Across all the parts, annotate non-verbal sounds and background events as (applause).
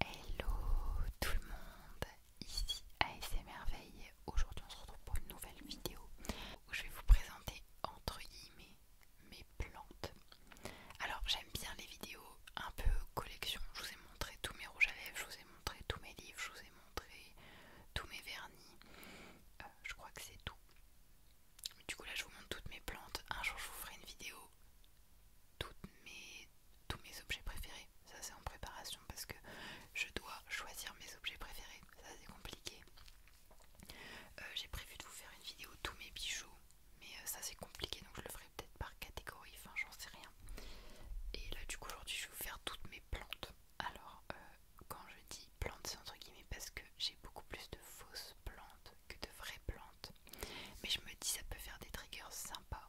Hello tout le monde, ici ASMRveille. Aujourd'hui on se retrouve pour une nouvelle vidéo où je vais vous présenter entre guillemets mes plantes. Alors j'aime bien les vidéos un peu collection. Je vous ai montré tous mes rouges à lèvres, je vous ai montré tous mes livres, je vous ai montré tous mes vernis. Euh, je crois que c'est tout. Du coup là je vous montre toutes mes plantes. Un jour je vous ferai une vidéo. Toutes tous mes objets préférés. Ça c'est en préparation parce que je dois choisir mes objets préférés. Ça c'est compliqué. Euh, j'ai prévu de vous faire une vidéo tous mes bijoux. Mais euh, ça c'est compliqué donc je le ferai peut-être par catégorie. Enfin j'en sais rien. Et là du coup aujourd'hui je vais vous faire toutes mes plantes. Alors euh, quand je dis plantes c'est entre guillemets parce que j'ai beaucoup plus de fausses plantes que de vraies plantes. Mais je me dis, ça peut faire des triggers sympas.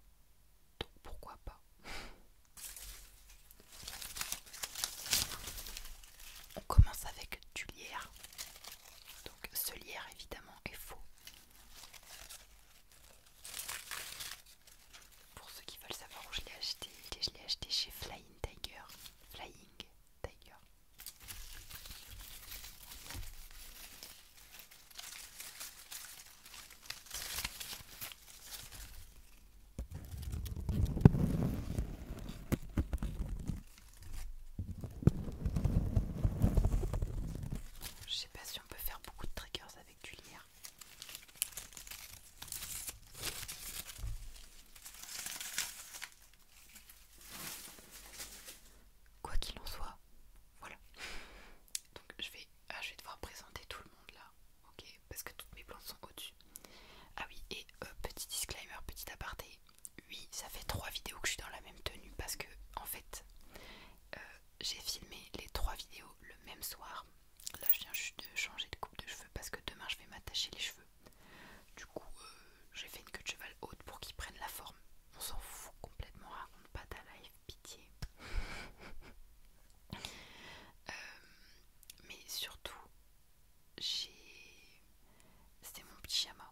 Donc pourquoi pas (laughs) On commence avec du lierre. Donc ce lierre évidemment est faux. Pour ceux qui veulent savoir où je l'ai acheté, je l'ai acheté chez Flying Tiger. Flying Tiger. Je sais pas si on peut faire beaucoup de triggers avec du lierre. Quoi qu'il en soit, voilà. Donc je vais, ah, je vais devoir présenter tout le monde là, ok Parce que toutes mes plantes sont au-dessus. Ah oui, et euh, petit disclaimer, petit aparté. Oui, ça fait trois vidéos que je suis dans la même tenue parce que, en fait, euh, j'ai filmé les trois vidéos le même soir. Là, je viens juste de changer de coupe de cheveux parce que demain je vais m'attacher les cheveux. Du coup, euh, j'ai fait une queue de cheval haute pour qu'il prenne la forme. On s'en fout complètement, raconte pas ta life, pitié. (laughs) Euh, mais surtout, j'ai. C'était mon pyjama.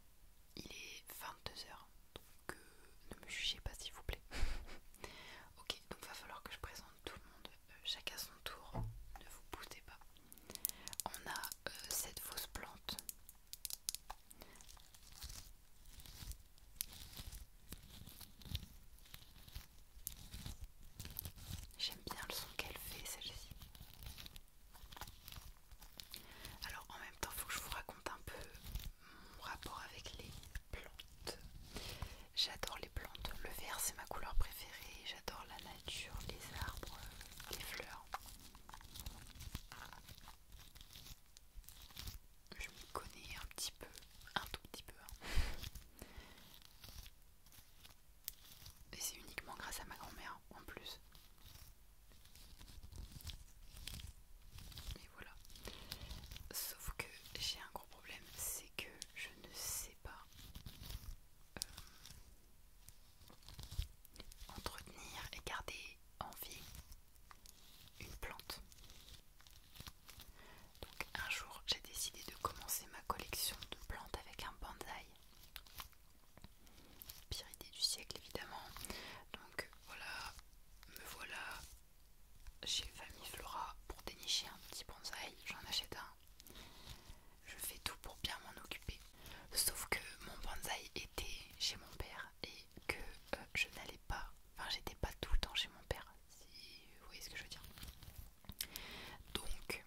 Il est 22h, donc euh, ne me jugez pas s'il vous plaît. (laughs) ok, donc va falloir que je présente tout le monde, chacun à son tour, ne vous poussez pas. On a euh, cette fausse plante. J'aime bien le son qu'elle fait celle-ci. Alors en même temps, il faut que je vous raconte un peu mon rapport avec les plantes. J'adore les plantes. Le vert, c'est ma couleur préférée. J'adore la nature, les arbres, les fleurs. Je me connais un petit peu, un tout petit peu. Hein. Et c'est uniquement grâce à ma grand-mère en plus. Et voilà. Sauf que j'ai un gros problème, c'est que je ne sais pas euh, Entretenir et garder en vie une plante. Donc un jour j'ai décidé de commencer ma collection de plantes avec un bonsaï. Pire idée du siècle évidemment. Donc voilà, me voilà chez Famille Flora pour dénicher un petit bonsaï. J'en achète un je fais tout pour bien m'en occuper. Sauf que mon bonsaï était chez mon père et que euh, je n'allais pas, enfin j'étais pas tout le temps chez mon père, si vous voyez ce que je veux dire. Donc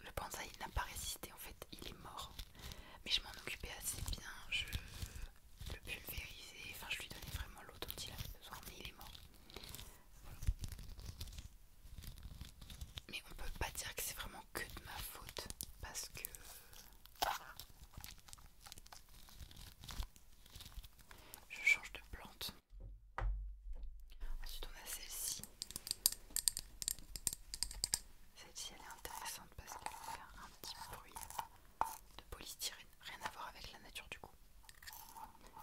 le bonsaï n'a pas résisté en fait, il est mort. Mais je m'en occupais assez bien, je le pulvérisais, enfin je lui donnais vraiment l'eau dont il avait besoin, mais il est mort. Mais on peut pas dire que c'est vraiment que de ma faute parce que je change de plante. Ensuite on a celle-ci. Celle-ci elle est intéressante parce qu'elle fait un petit bruit de polystyrène. Rien à voir avec la nature du coup.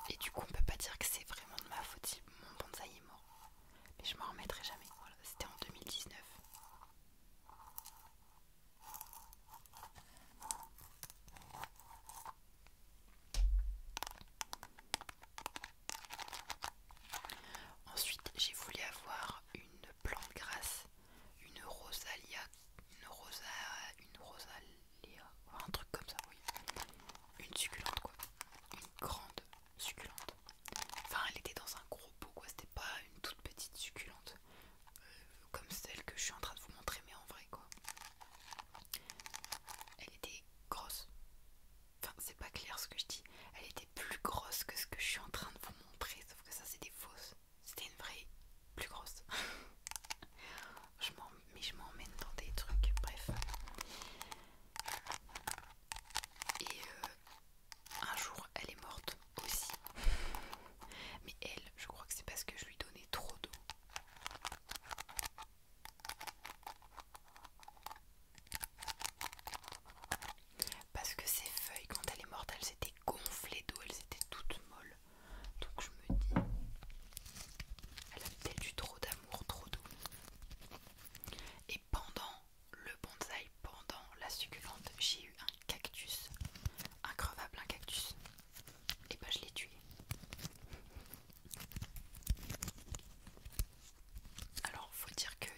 Et du coup, on peut pas dire que c'est vraiment de ma faute si mon bonsaï est mort. Mais je m'en remettrai jamais. Voilà, c'était en 2019. Ensuite, j'ai voulu avoir une plante grasse, une rosalia, une rosa, une rosal, un truc comme ça, oui. Une succulente quoi, une grande succulente. Enfin, elle était dans un gros pot quoi, c'était pas une toute petite succulente euh, comme celle que je suis en train de vous montrer, mais en vrai quoi. Elle était grosse. Enfin, c'est pas clair ce que je dis. Elle était plus grosse que ce que je suis en train de vous montrer, sauf que ça c'était des fausses. C'était une vraie plus grosse. je (laughs) m'en mais je m'emmène dans des trucs, bref. Et euh, un jour, elle est morte aussi. Mais elle, je crois que c'est parce que je lui donnais trop d'eau. Parce que ses feuilles, quand elle est morte, elles étaient gonflées d'eau, elles étaient toutes molles. Donc je me dis, elle a peut-être eu trop d'amour, trop d'eau. Et pendant le bonsaï, pendant la succulente, j'ai eu un cactus, increvable un cactus. Et bah ben, je l'ai tué. Alors faut dire que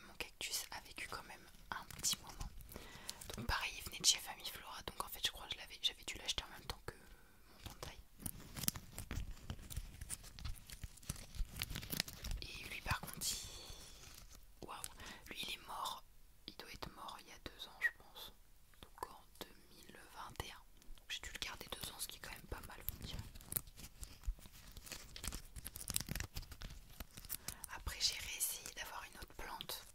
mon cactus a vécu quand même un petit moment. Donc pareil, il venait de chez Famille Flora, donc en fait je crois que j'avais dû l'acheter en même temps que mon taille Et lui par contre il... Lui il est mort, il doit être mort il y a deux ans je pense. Donc en 2021. J'ai dû le garder deux ans, ce qui est quand même pas mal Après j'ai réessayé d'avoir une autre plante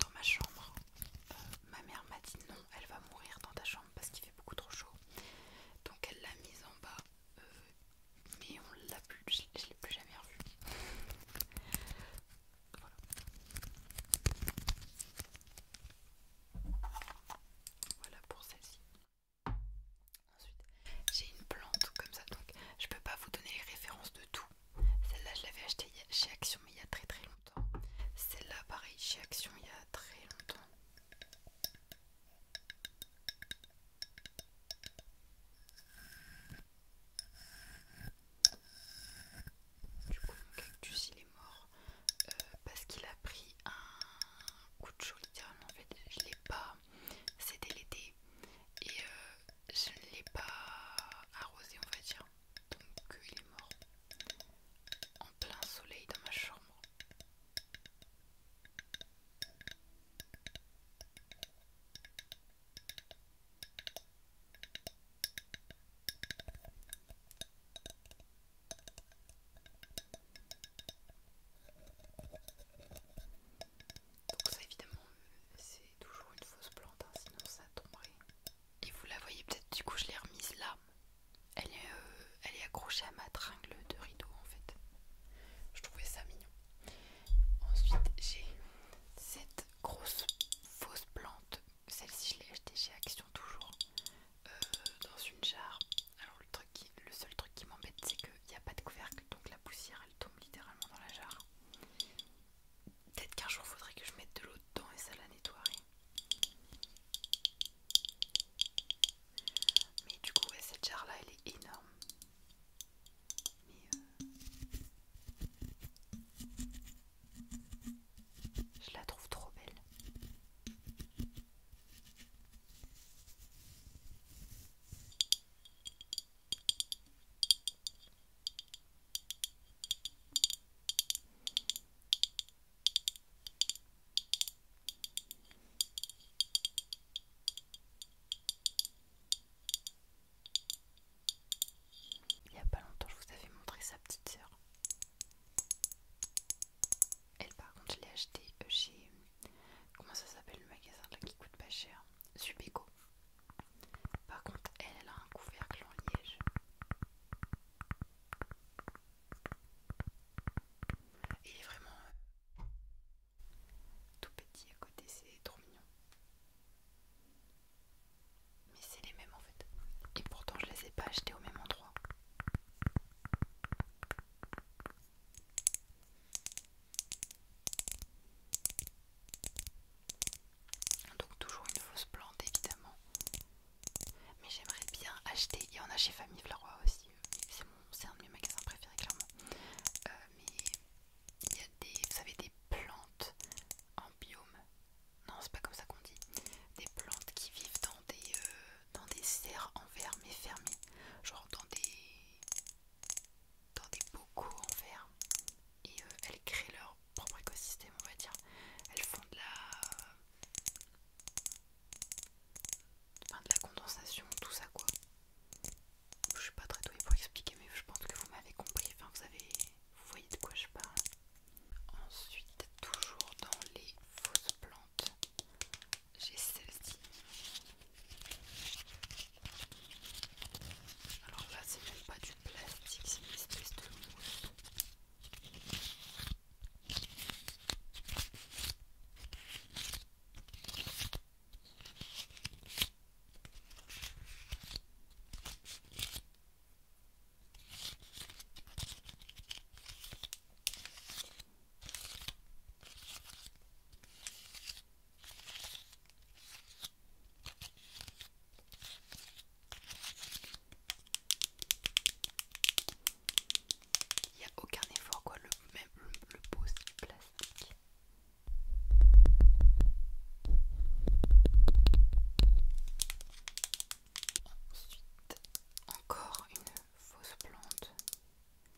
dans ma chambre. Euh, ma mère m'a dit non, elle va mourir dans ta chambre parce qu'il fait beaucoup trop chaud. Donc elle l'a mise en bas, euh, mais on l'a plus, je, l'ai plus jamais revue. Voilà. Voilà pour celle-ci. Ensuite, j'ai une plante comme ça, donc je peux pas vous donner les références de tout celle-là, je l'avais achetée chez Action, mais il y a très très longtemps. Celle-là, pareil, chez Action, il y a très longtemps. Du coup, mon cactus, il est mort euh, parce qu'il a pris un coup de chaud, littéralement. En fait, je l'ai pas. C'était l'été. Et euh, je ne l'ai pas arrosé, on va dire. Donc il est mort en plein soleil dans ma chambre. Donc ça évidemment euh, c'est toujours une fausse plante, hein, sinon ça tomberait. Et vous la voyez peut-être du coup je l'ai remise là. Elle est, euh, elle est accrochée à ma tringle de rideau en fait. Je trouvais ça mignon. Ensuite j'ai cette grosse fausse plante. Celle-ci je l'ai achetée chez Action toujours euh, dans une jarre. Alors le, truc le seul truc qui m'embête c'est qu'il n'y a pas de couvercle donc la poussière elle tombe littéralement dans la jarre. Peut-être qu'un jour faudrait que je mette de l'eau dedans et ça la nettoierait. Mais du coup, cette jarre là, elle est énorme. Mais euh, je la trouve trop belle. Il n'y a pas longtemps, je vous avais montré sa petite sœur. Elle, par contre, je l'ai achetée euh, chez. Comment ça s'appelle le magasin là qui coûte pas cher Subeco. Par contre, elle, a un couvercle en liège. Il est vraiment euh, tout petit à côté, c'est trop mignon. Mais c'est les mêmes en fait. Et pourtant, je les ai pas achetés au même endroit. Donc toujours une fausse plante évidemment. Mais j'aimerais bien acheter, il y en a chez Famille Vlarois aussi, c'est un de mes magasins préférés clairement. Euh, mais il y a des, vous savez, des plantes en biome, non c'est pas comme ça qu'on dit, des plantes qui vivent dans des, euh, dans des serres en verre mais fermées, genre dans des dans des bocaux en verre et euh, elles créent leur propre écosystème, on va dire. Elles font de la, de la condensation, tout ça quoi. Je suis pas très douée pour expliquer, mais je pense que vous m'avez compris. Enfin, vous avez vous voyez de quoi je parle. Ensuite, toujours dans les fausses plantes, j'ai celle-ci alors là, c'est même pas du plastique, c'est une espèce de mousse. Il n'y a aucun effort quoi, le, même le, pose plastique. Ensuite, encore une fausse plante.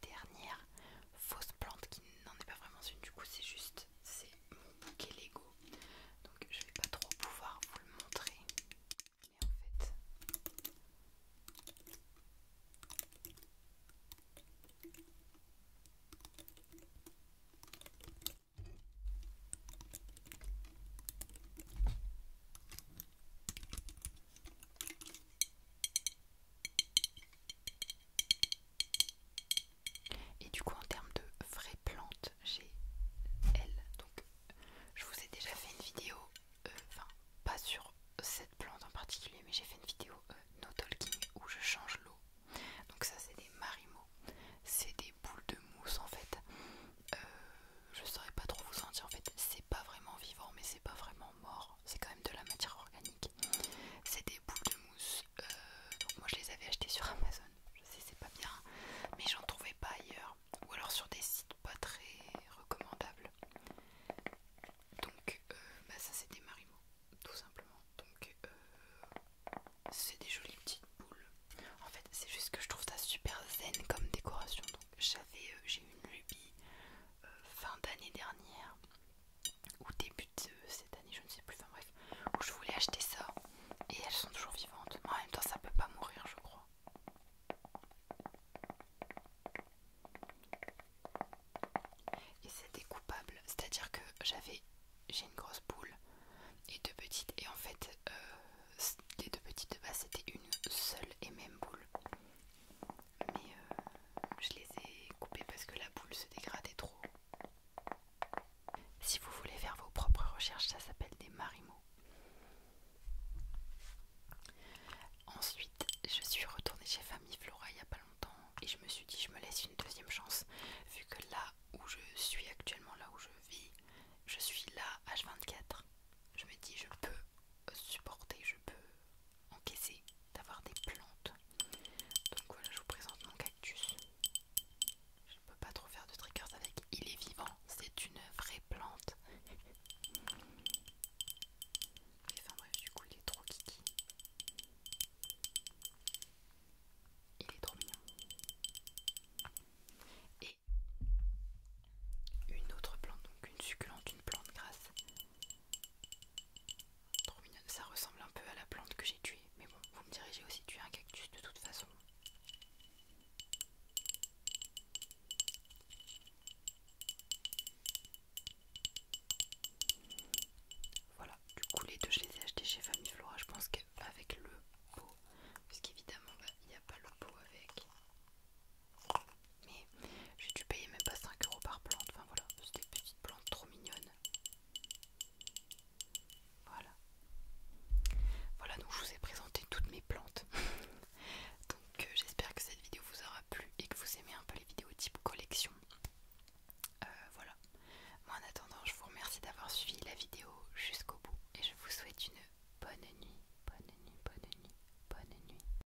Dernière fausse plante qui n'en est pas vraiment une, du coup c'est juste, mon Lego. Donc je vais pas trop pouvoir vous le montrer. Mais en fait... Et du coup, en termes de vraies plantes, j'ai elle. Donc, je vous ai déjà fait une vidéo, euh, enfin, pas sur cette plante en particulier, mais j'ai fait une vidéo euh, No Talking où je change l'eau. Donc, ça, c'est des marimo. c'est des boules de mousse en fait. Euh, je saurais pas trop vous en dire en fait, c'est pas vraiment vivant, mais c'est pas vraiment mort, c'est quand même de la matière organique. C'est des boules de mousse euh, donc moi je les avais achetés sur Amazon, je sais c'est pas bien, mais j'en trouvais pas ailleurs, ou alors sur des sites pas très recommandables. Donc euh, bah, ça c'était des Marimo, tout simplement. Donc euh, c'est des jolies petites boules. En fait c'est juste que je trouve ça super zen comme décoration. Donc j'avais, j'ai eu une lubie fin d'année dernière ou début de cette année, je ne sais plus, enfin bref, où je voulais acheter ça et elles sont toujours vivantes. en même temps, ça peut pas mourir, je crois. Et c'était coupable, c'est-à-dire que j'avais, j'ai une grosse boule et deux petites, et en fait, euh, les deux petites de base c'était une seule et même boule mais euh, je les ai coupés parce que la boule se dégradait trop. Si vous voulez faire vos propres recherches, ça s'appelle des marimots. Ensuite, je suis retournée chez Famille Flora il n'y a pas longtemps et je me suis dit, je me laisse une deuxième chance vu que là où je suis actuellement, là où je vis, je suis là H24. Je me dis, je peux supporter, je peux encaisser d'avoir des plantes. Donc voilà, je vous présente mon cactus. Je peux pas trop faire de triggers avec. Il est vivant, c'est une vraie plante. enfin bref, du coup, il est trop kiki. Il est trop mignon. Et une autre plante, donc une succulente, une plante grasse ça ressemble un peu à la plante que j'ai tuée, mais bon, vous me direz, j'ai aussi tué un cactus de toute façon. Voilà, du coup les deux je les ai achetés chez Flora. je pense qu'avec le pot, parce qu'évidemment bah, il n'y a pas le pot avec. Mais j'ai dû payer même pas 5 euros par plante. Enfin voilà, c'était des petites plantes trop mignonnes. Voilà. Voilà, donc je vous ai présenté toutes mes plantes. (laughs) donc euh, j'espère que cette vidéo vous aura plu et que vous aimez un peu les vidéos type collection. Euh, voilà. Moi en attendant, je vous remercie d'avoir suivi la vidéo jusqu'au bout et je vous souhaite une bonne nuit, bonne nuit, bonne nuit, bonne nuit.